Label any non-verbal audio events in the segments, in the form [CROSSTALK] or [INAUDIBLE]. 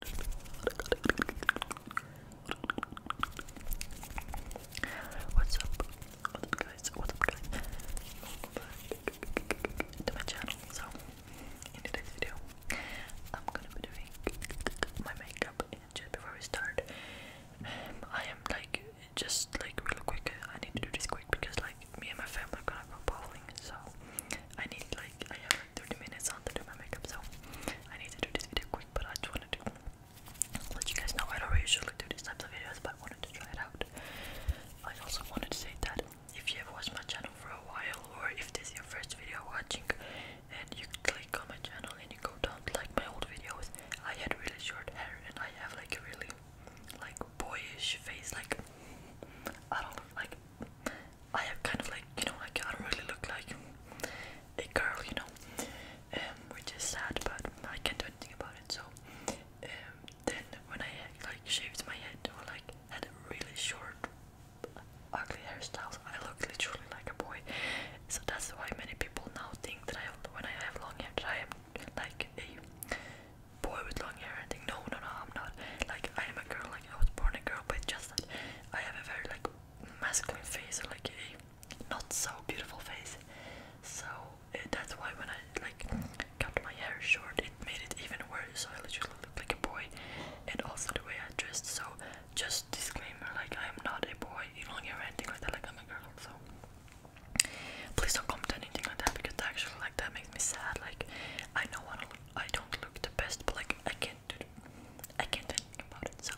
What's up? guys? Welcome back to my channel. So in today's video I'm gonna be doing my makeup and just before we start I am like just like really quick I need to do this quick because like me and my family are gonna go bowling so I need like I have 30 minutes on to do my makeup, so I need to do this video quick. But I just wanted to let you guys know I don't usually do these types of videos, but I wanted to try it out. I also wanted to say that if you have watched my channel for a while, or if this is your first video watching, and you click on my channel and you go down to like my old videos, I had really short hair and I have like a really like boyish face, like I don't know, like I have kind of like, you know, I can't really look like a girl, you know, um, which is sad, but I can't do anything about it. So, um, then when I like shaved my head or like had really short, ugly hairstyles, I look literally like a boy. So that's why many people now think that I, have, when I have long hair, that I am like a boy with long hair. and think no, no, no, I'm not. Like I am a girl. Like I was born a girl, but just that I have a very like masculine face, or like a not so beautiful face. So eh, that's why when I like cut my hair short, it made it even worse. So I literally look like a boy, and also the way I dress. So just disclaimer, like I am not a boy, Even though not hear anything like that. Like I'm a girl, so please don't comment anything like that because actually like that makes me sad. Like I don't want to look. I don't look the best, but like I can. I can't do anything about it. So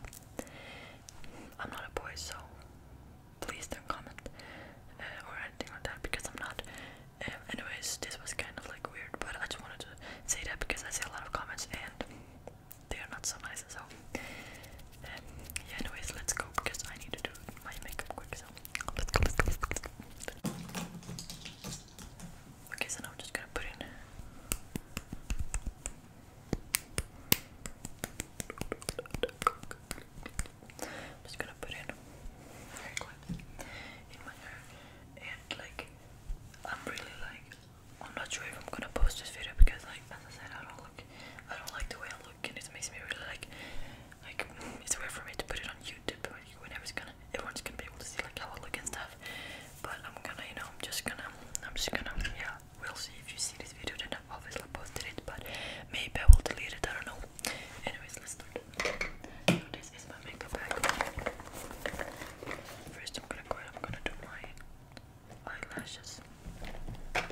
I'm not a boy, so please don't comment uh, or anything like that because I'm not. Um, anyways, this was kind of like weird, but I just wanted to say that because I see a lot of comments and they are not so nice. So um, yeah, anyways, let's go because I need to do my makeup quick. So Let's go. Okay, so now I'm just gonna put in I'm just gonna put in hair clips in my hair and like I'm really like I'm not sure if I'm gonna post this video because like as I said I don't look I don't like the way I look and it makes me really like like it's weird for me to put it on YouTube but whenever it's gonna everyone's gonna be able to see like how I look and stuff. But I'm gonna, you know, I'm just gonna, I'm just gonna, yeah. We'll see if you see this video. Then I've obviously posted it, but maybe I will delete it. I don't know. Anyways, let's start. So this is my makeup bag. First, I'm gonna go. I'm gonna do my eyelashes. I'm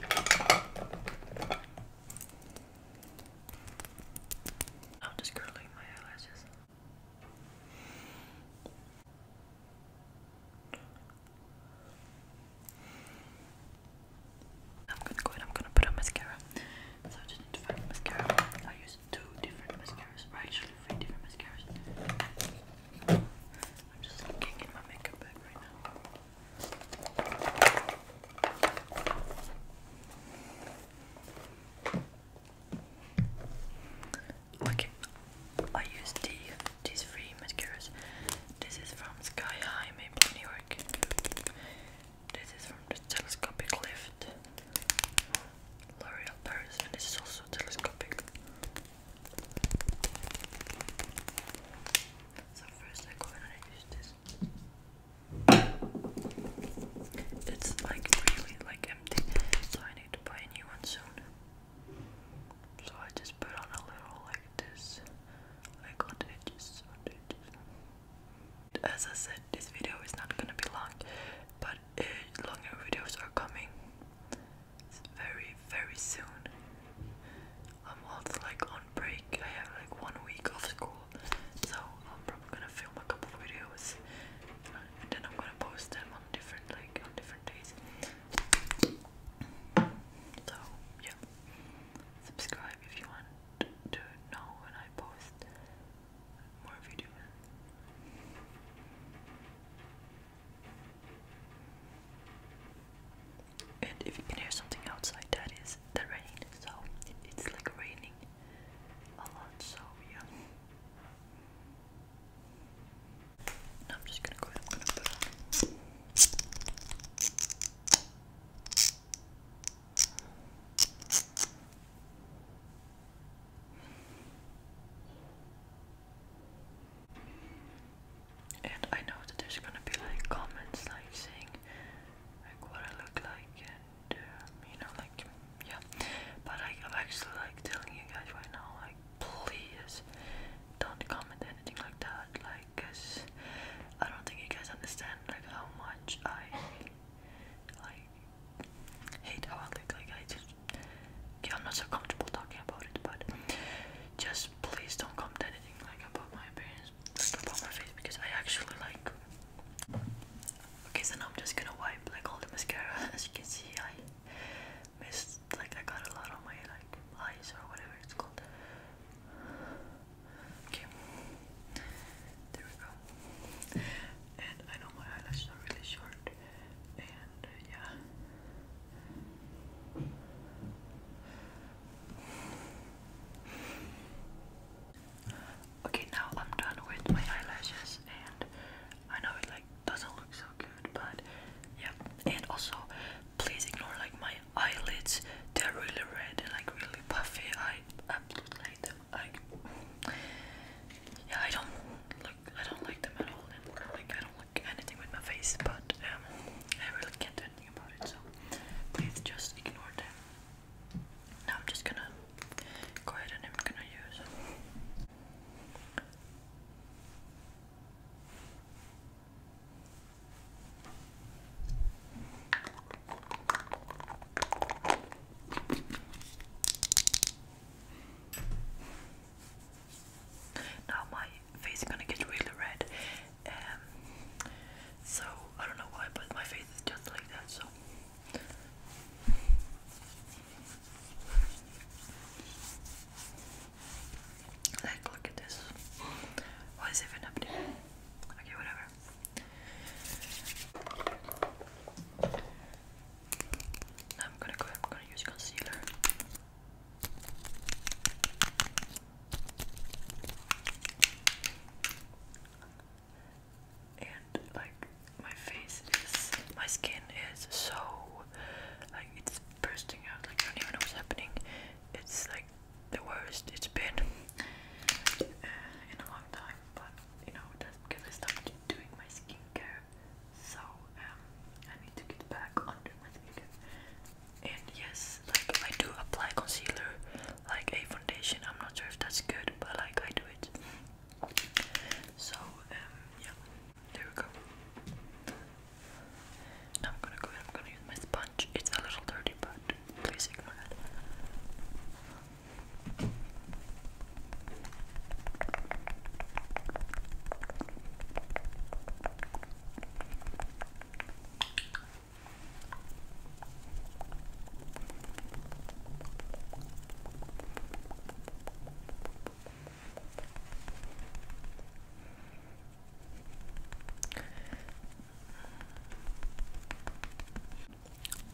just curling my eyelashes. I'm gonna go and I'm gonna put on mascara. So I just need to find mascara. I use two different mascaras, or actually three different mascaras. I'm just looking in my makeup bag right now. Okay, I use these three mascaras. This is from Sky High Maple, New York. This is from the Telescopic Lift. L'Oreal Paris, and this is also telescopic. So first I go and I use this. It's like really like empty, so I need to buy a new one soon. So I just put on a little like this, like on the edges, on As I said, this video is not gonna be long, but uh, longer videos are coming very, very soon. I'm also like on break. I have like one week off school so I'm probably gonna film a couple videos and then I'm gonna post them on different like different days. So yeah. Subscribe if you want to know when I post more videos. And if you can hear something outside, that is the rain. So it's like raining I'm just gonna go ahead and put on. And I know that there's gonna be like comments like saying like what I look like you know, like, yeah. But I, I'm actually like telling you guys right now, like, please don't comment anything like that, like, cause I don't think you guys understand like how much I like hate how I look. Like, I just, yeah, I'm not so comfortable talking about it, but just please don't comment anything like about my appearance, about my face, because I actually like. Okay, so now I'm just gonna wipe like all the mascara. [LAUGHS] As you can see, I missed like I got a lot on my like eyes or whatever it's called. Okay, there we go. And I know my eyelashes are really short, and uh, yeah. Okay, now I'm done with my eyelashes, and I know it like doesn't look so good, but yeah. And also, please ignore like my eyelids; they're really red and like really puffy. I absolutely hate them. Like, yeah, I don't look, I don't like them at all, and like I don't like anything with my face. But um, I really can't do anything about it, so please just ignore them. Now I'm just gonna go ahead and I'm gonna use. Now my face is gonna get really red. Um, so I don't know why, but my face is just like that. So. Like, look at this. What is even up there? Okay, whatever. I'm gonna go. I'm gonna use concealer and like my face is my skin is so like it's bursting out like I don't even know what's happening it's like the worst it's been uh, in a long time but you know because I started doing my skincare so um I need to get back on my skincare and yes like I do apply concealer like a I'm not sure if that's good, but like I do it. So um, yeah, there we go. I'm gonna go and I'm gonna use my sponge. It's a little dirty, but please ignore that.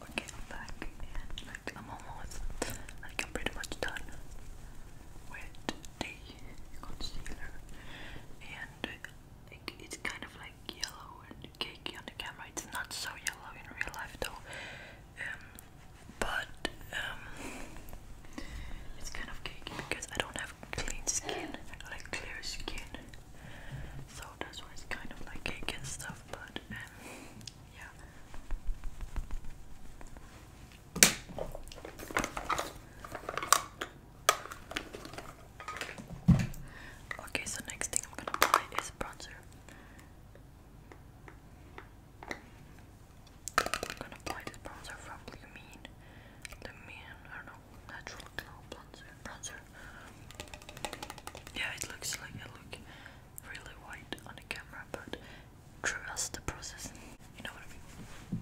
Okay, I'm back and like I'm almost like I'm pretty much done with the concealer and like it's kind of like yellow and cakey on the camera. It's not so yellow in real life though. Um, but um, it's kind of cakey because I don't have clean skin, like clear skin. So that's why it's kind of like cakey and stuff. But um, yeah. Okay, so next thing I'm gonna apply is bronzer. I'm gonna apply this bronzer from Lumine. Lumine, I don't know, natural glow Bronzer. Yeah, it looks like I look really white on the camera, but trust the process. You know what I mean.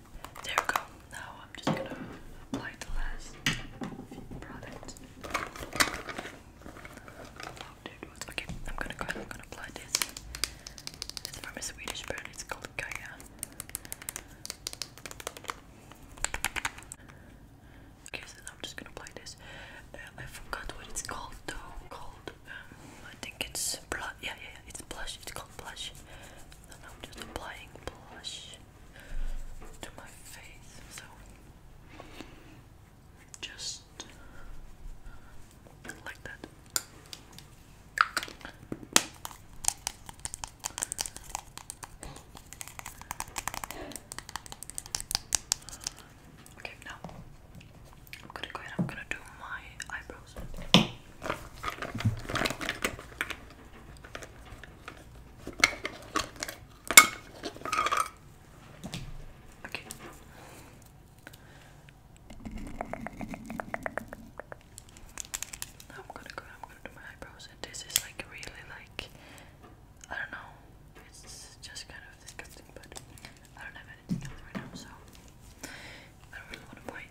there we go. Now I'm just gonna apply the last product. Oh, Okay, I'm gonna go I'm gonna apply this. It's from a Swedish brand, it's called Gaia. Okay, so now I'm just gonna apply this. Uh, I forgot what it's called though. Called, um, I think it's blush. Yeah, yeah, yeah, it's blush. It's called blush. So I'm just applying blush to my face, so just like that. Okay, now I'm gonna go ahead, I'm gonna do my eyebrows. Okay. Now I'm gonna go. I'm gonna do my eyebrows, and this is like really like I don't know. It's just kind of disgusting, but I don't have anything else right now, so I don't really want to buy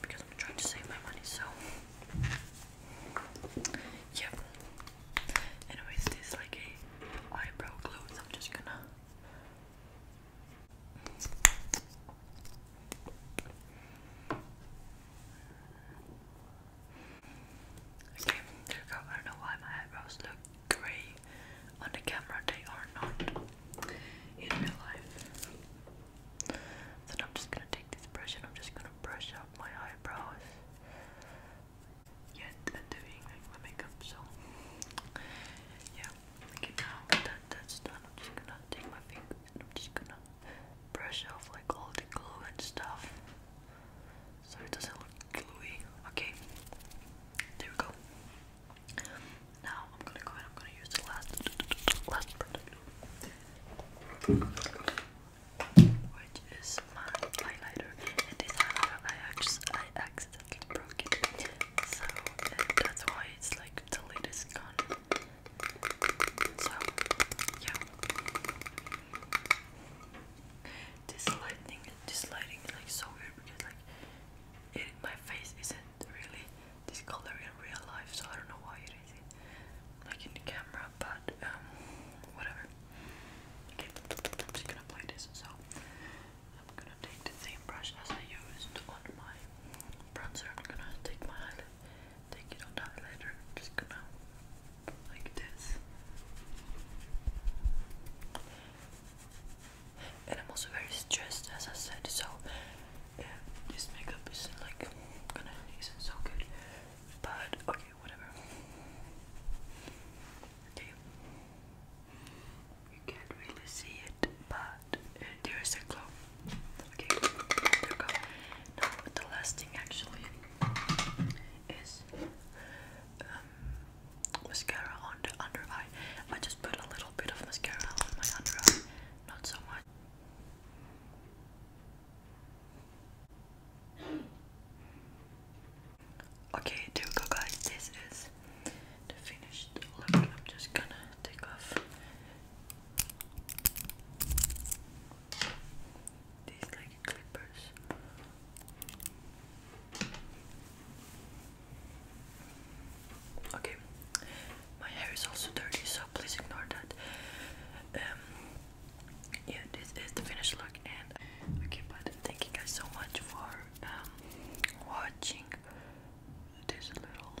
because I'm trying to save my money. So, yep. Anyways, this like a eyebrow glue. So I'm just gonna. Okay, there we go. I don't know why my eyebrows look grey on the camera. They are not in real life. Then I'm just gonna take this brush and I'm just gonna brush up my eyebrows. Yet and doing my makeup, so yeah. Okay, now that that's done, I'm just gonna take my finger and I'm just gonna brush off like all the glue stuff, so it does look gluey. Okay, there we go. Now I'm gonna go and I'm gonna use the last last product which is my highlighter. And this I, actually, I accidentally broke it, so that's why it's like the lid gone. So, yeah. This lighting, this lighting is like so weird because like it, my face is really this color in real life, so I don't know why it is like in the camera, but um, whatever. Okay, I'm just gonna play this, so I'm gonna take the same brush as I used on my bronzer. I'm gonna take my highlight, take it highlighter, just gonna like this. And I'm also very stressed, as I said, so yeah, this makeup is like gonna isn't so good. But okay, whatever. Okay. You can't really see it, but uh, there is a glow. Okay, there we go. Now the last thing actually is um, mascara on the under eye. I just put a little bit of mascara on my under eye, not so much. Okay, there we go, guys. This is the finished look. I'm just gonna take off these like clippers. Okay, my hair is also dirty, so please ignore that. Um, yeah, this is the finished look, and okay, but thank you guys so much for um, watching this little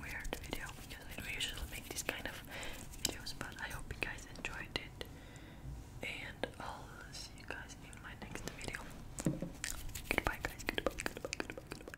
weird video because I don't usually make these kind of videos, but I hope you guys enjoyed it, and I'll see you guys in my next video. Goodbye, guys. Goodbye.